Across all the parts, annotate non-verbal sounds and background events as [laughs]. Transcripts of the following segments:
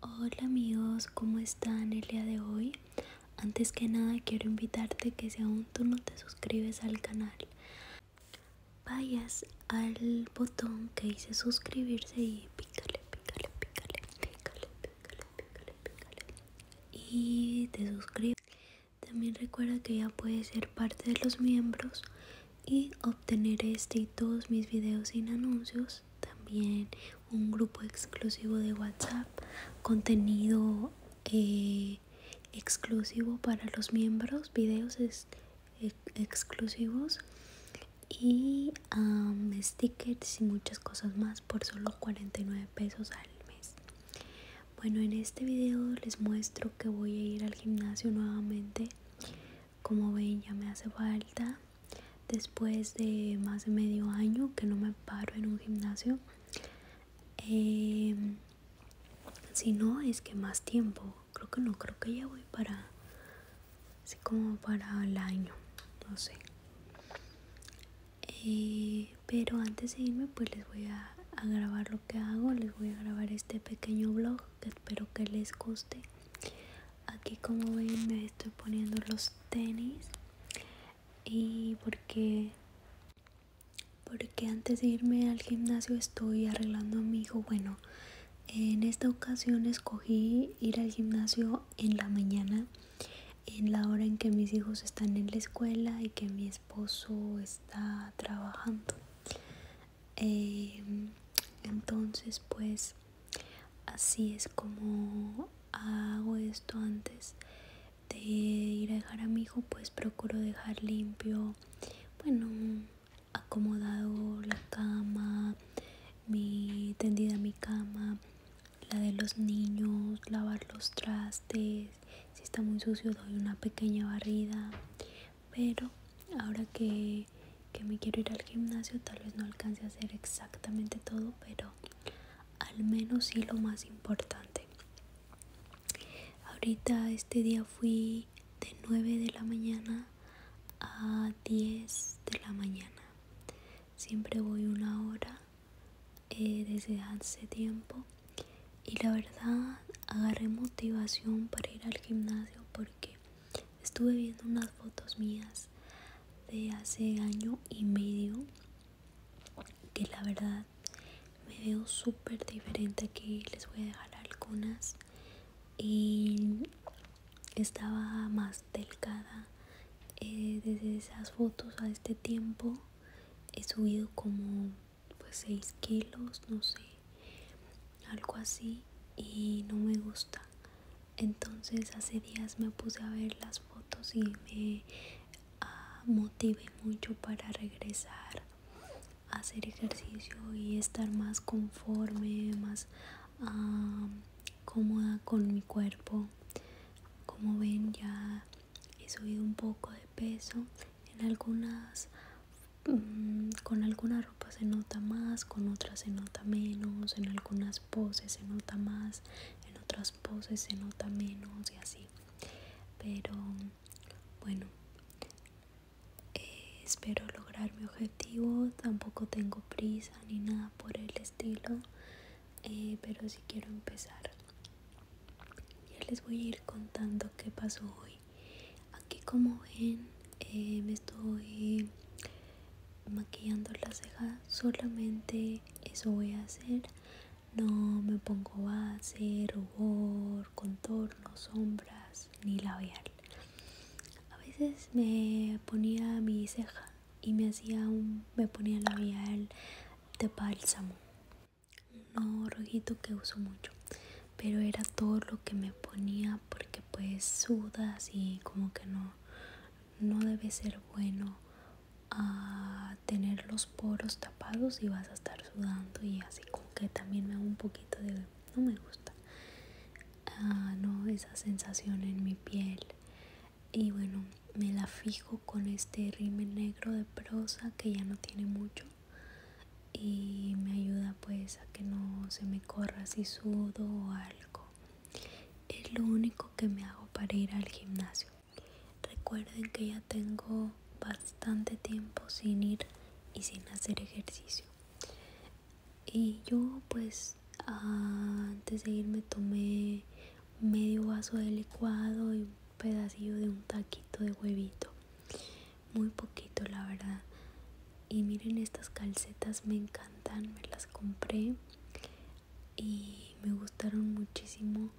Hola amigos, ¿cómo están el día de hoy? Antes que nada quiero invitarte que si aún tú no te suscribes al canal, vayas al botón que dice suscribirse y pícale, pícale, pícale, pícale, pícale, pícale, pícale y te suscribes. También recuerda que ya puedes ser parte de los miembros y obtener este y todos mis videos sin anuncios también un grupo exclusivo de whatsapp contenido eh, exclusivo para los miembros videos eh, exclusivos y um, stickers y muchas cosas más por solo 49 pesos al mes bueno en este video les muestro que voy a ir al gimnasio nuevamente como ven ya me hace falta. Después de más de medio año que no me paro en un gimnasio. Em, si no es que más tiempo. Creo que no, creo que ya voy para... Así como para el año. No sé. Eh, pero antes de irme pues les voy a, a grabar lo que hago. Les voy a grabar este pequeño vlog espero que les guste aquí como ven me estoy poniendo los tenis y porque porque antes de irme al gimnasio estoy arreglando a mi hijo bueno en esta ocasión escogí ir al gimnasio en la mañana en la hora en que mis hijos están en la escuela y que mi esposo está trabajando Em, entonces pues así es como hago esto antes de ir a dejar a mi hijo pues procuro dejar limpio bueno acomodado la cama mi tendida mi cama la de los niños lavar los trastes si está muy sucio doy una pequeña barrida pero ahora que, me quiero ir al gimnasio tal vez no alcance a hacer exactamente todo pero al menos sí lo más importante ahorita este día fui de 9 de la mañana a 10 de la mañana siempre voy una hora eh, desde hace tiempo y la verdad agarré motivación para ir al gimnasio porque estuve viendo unas fotos mías de hace año y medio que la verdad me veo súper diferente aquí les voy a dejar algunas y estaba más delgada eh, desde esas fotos a este tiempo he subido como pues 6 kilos, no sé, algo así y no me gusta. Entonces hace días me puse a ver las fotos y me ah, motivé mucho para regresar a hacer ejercicio y estar más conforme, más ah, cómoda con mi cuerpo. Como ven ya he subido un poco de peso en algunas Mm, con alguna ropa se nota más, con otras se nota menos, en algunas poses se nota más, en otras poses se nota menos y así. Pero bueno, eh, espero lograr mi objetivo, tampoco tengo prisa ni nada por el estilo, eh, pero sí quiero empezar. Ya les voy a ir contando qué pasó hoy aquí como ven eh, me estoy maquillando las cejas solamente eso voy a hacer no me pongo base rubor contorno sombras ni labial a veces me ponía mi ceja y me hacía un me ponía labial de bálsamo no rojito que uso mucho pero era todo lo que me ponía porque pues sudas y como que no no debe ser bueno a ah, tener los poros tapados y vas a estar sudando y así como que también me hago un poquito de no me gusta ah, no esa sensación en mi piel y bueno me la fijo con este rímel negro de prosa que ya no tiene mucho y me ayuda pues a que no se me corra si sudo o algo. Es lo único que me hago para ir al gimnasio. Recuerden que ya tengo bastante tiempo sin ir y sin hacer ejercicio. Y yo pues antes de irme tomé medio vaso de licuado y un pedacito de un taquito de huevito muy poquito la verdad y miren estas calcetas me encantan me las compré y me gustaron muchísimo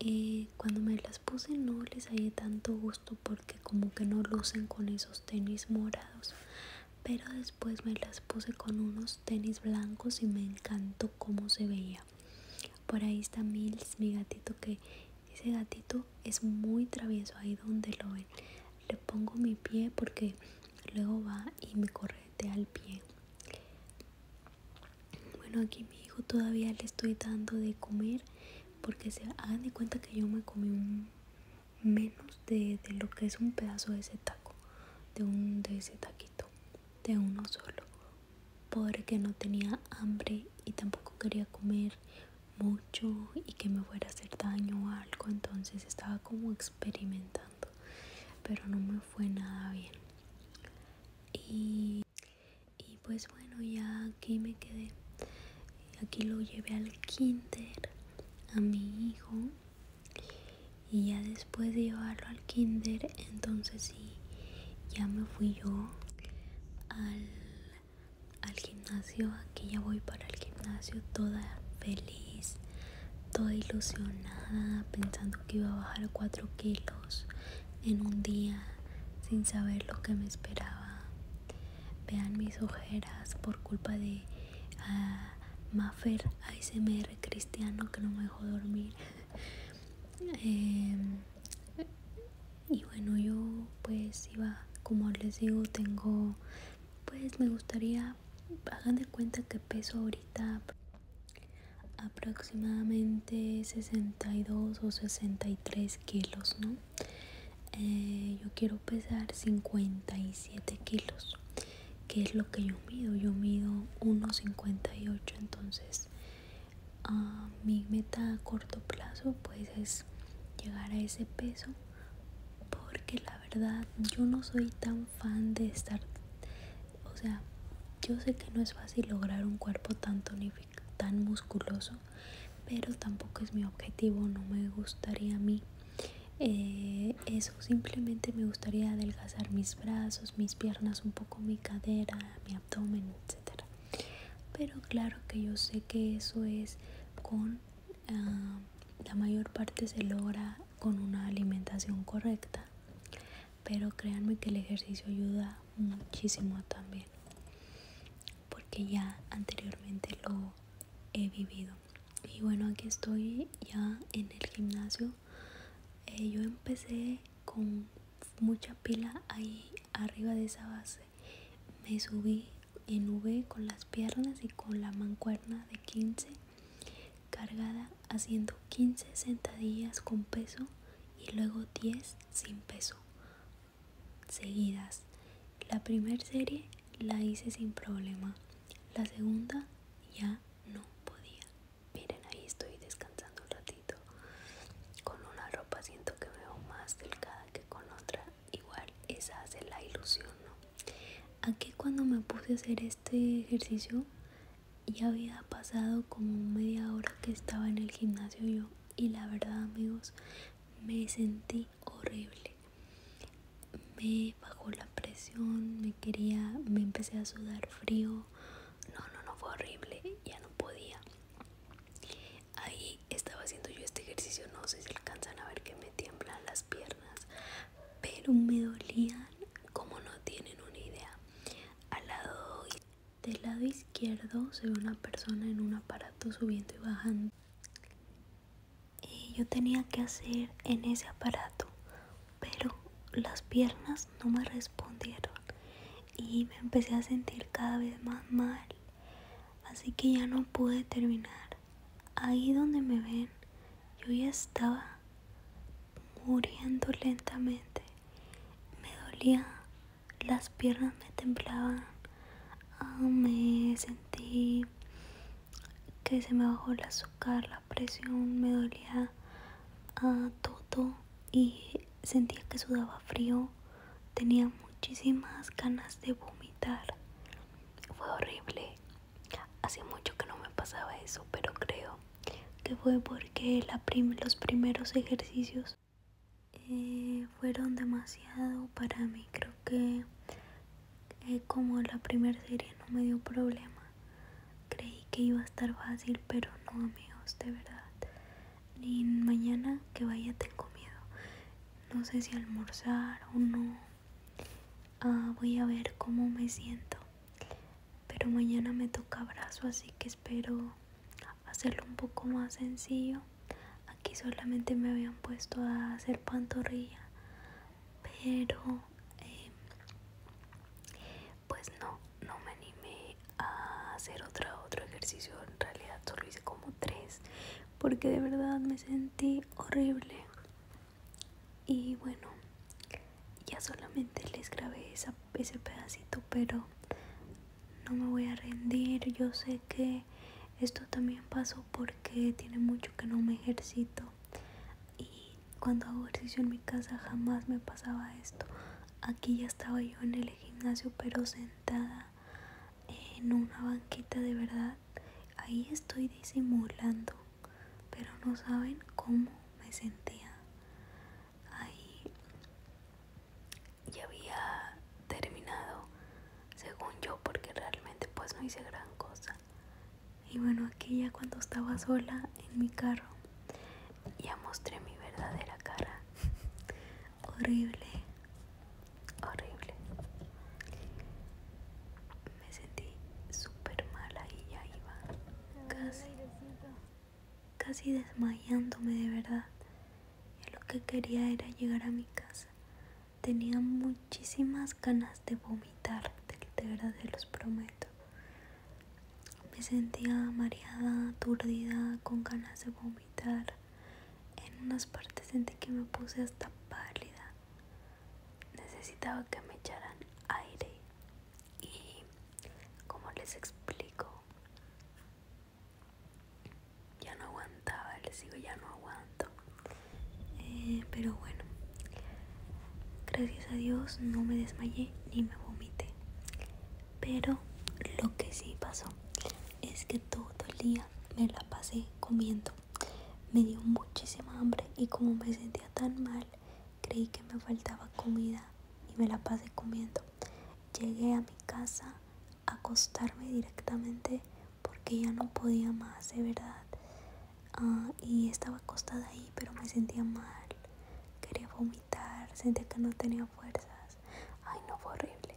eh, cuando me las puse no les hallé tanto gusto porque como que no lucen con esos tenis morados pero después me las puse con unos tenis blancos y me encantó cómo se veía por ahí está Mills, mi gatito, que ese gatito es muy travieso ahí donde lo ven. Le pongo mi pie porque luego va y me correte al pie. Bueno, aquí mi hijo todavía le estoy dando de comer porque se hagan de cuenta que yo me comí menos de, de lo que es un pedazo de ese taco, de un de ese taquito, de uno solo porque no tenía hambre y tampoco quería comer mucho y que me fuera a hacer daño o algo, entonces estaba como experimentando, pero no me fue nada bien. Y, pues bueno, ya aquí me quedé. Aquí lo llevé al kinder a mi hijo y ya después de llevarlo kinder entonces sí ya me fui yo al, gimnasio aquí ya voy para el gimnasio toda feliz toda ilusionada pensando que iba a bajar 4 kilos en un día sin saber lo que me esperaba vean mis ojeras por culpa de mafer ah, Maffer ASMR cristiano que no me dejó dormir [laughs] Eh, y bueno yo pues iba como les digo tengo pues me gustaría hagan de cuenta que peso ahorita aproximadamente 62 o 63 kilos no eh, yo quiero pesar 57 kilos que es lo que yo mido yo mido 1,58 entonces mi meta a corto plazo pues es llegar a ese peso porque la verdad yo no soy tan fan de estar o sea yo sé que no es fácil lograr un cuerpo tan tonificado tan musculoso pero tampoco es mi objetivo no me gustaría a mí eh, eso simplemente me gustaría adelgazar mis brazos mis piernas, un poco mi cadera, mi abdomen, etcétera. Pero claro que yo sé que eso es con ah, la mayor parte se logra con una alimentación correcta. Pero créanme que el ejercicio ayuda muchísimo también. Porque ya anteriormente lo he vivido. Y bueno, aquí estoy ya en el gimnasio eh, yo empecé con mucha pila ahí arriba de esa base me subí en V con las piernas y con la mancuerna de 15 cargada haciendo 15 sentadillas con peso y luego 10 sin peso seguidas la primera serie la hice sin problema la segunda ya no podía miren ahí estoy descansando un ratito con una ropa siento que veo más delgada que con otra igual esa hace la ilusión no aquí cuando me puse a hacer este ejercicio ya había pasado como media hora que estaba en el gimnasio yo y la verdad amigos me sentí horrible me bajó la presión me quería me empecé a sudar frío. No, no, no, fue horrible. Ya no podía. Ahí estaba haciendo yo este ejercicio. No sé si alcanzan a ver que me tiemblan las piernas. Pero me dolían como no tienen una idea. Al lado del lado izquierdo se ve una persona en un aparato subiendo y bajando. Y yo tenía que hacer en ese aparato pero las piernas no me respondieron y me empecé a sentir cada vez más mal, así que ya no pude terminar. Ahí donde me ven, yo ya estaba muriendo lentamente. Me dolía, las piernas me temblaban, ah, me sentí que se me bajó el azúcar, la presión, me dolía a ah, todo y sentía que sudaba frío, tenía muchísimas ganas de vomitar, fue horrible, hace mucho que no me pasaba eso, pero creo que fue porque los primeros ejercicios eh, fueron demasiado para mí, creo que es eh, como la primera serie no me dio problema. Creí que iba a estar fácil, pero no amigos, de verdad. Ni mañana que vaya tengo miedo. No sé si almorzar o no. Ah, voy a ver cómo me siento. Pero mañana me toca abrazo así que espero hacerlo un poco más sencillo. Aquí solamente me habían puesto a hacer pantorrilla. Pero Em, pues no no me animé a hacer otra otro ejercicio en realidad solo hice como tres porque de verdad me sentí horrible y bueno ya solamente les grabé ese pedacito pero no me voy a rendir yo sé que esto también pasó porque tiene mucho que no me ejercito y cuando hago ejercicio en mi casa jamás me pasaba esto aquí ya estaba yo en el gimnasio pero sentada en una banquita de verdad ahí estoy disimulando pero no saben cómo me sentía ahí ya había terminado según yo porque realmente pues no hice gran cosa y bueno, aquí ya cuando estaba sola en mi carro, ya mostré mi verdadera cara. [laughs] horrible, horrible. Me sentí super mala y ya iba casi, casi desmayándome de verdad. Y lo que quería era llegar a mi casa Tenía muchísimas ganas de vomitar, de verdad se los prometo. Me sentía mareada, aturdida, con ganas de vomitar. En unas partes sentí que me puse hasta pálida. Necesitaba que me echaran aire. Y como les explico, ya no aguanto ya no aguanto. Eh, pero bueno, gracias a Dios no me desmayé ni me vomité. Pero lo que sí pasó es que todo el día me la pasé comiendo. Me dio muchísima hambre y como me sentía tan mal, creí que me faltaba comida y me la pasé comiendo. Llegué a mi casa, a acostarme directamente porque ya no podía más, de verdad. Ah, y estaba acostada ahí, pero me sentía mal. Quería vomitar, sentía que no tenía fuerzas. Ay, no, fue horrible.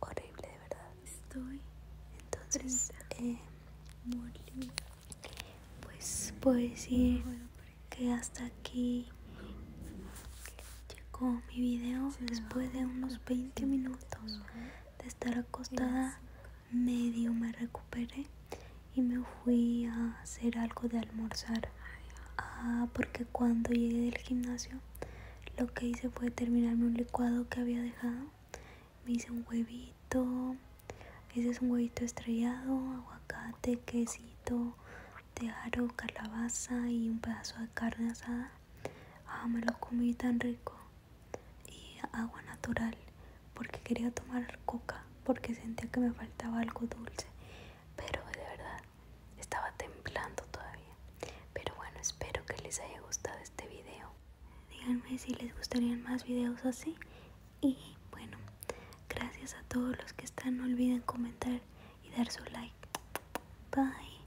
Horrible, de verdad. Estoy. Entonces, eh, pues puedo decir que hasta aquí llegó mi video después de unos 20 minutos de estar acostada medio me recuperé y me fui a hacer algo de almorzar ah, porque cuando llegué del gimnasio lo que hice fue terminarme un licuado que había dejado me hice un huevito ese es un huevito estrellado aguacate quesito aro, calabaza y un pedazo de carne asada ah me lo comí tan rico y agua natural porque quería tomar coca porque sentía que me faltaba algo dulce pero de verdad estaba temblando todavía pero bueno espero que les haya gustado este video díganme si les gustarían más videos así y bueno gracias a todos los que están no olviden comentar y dar su like bye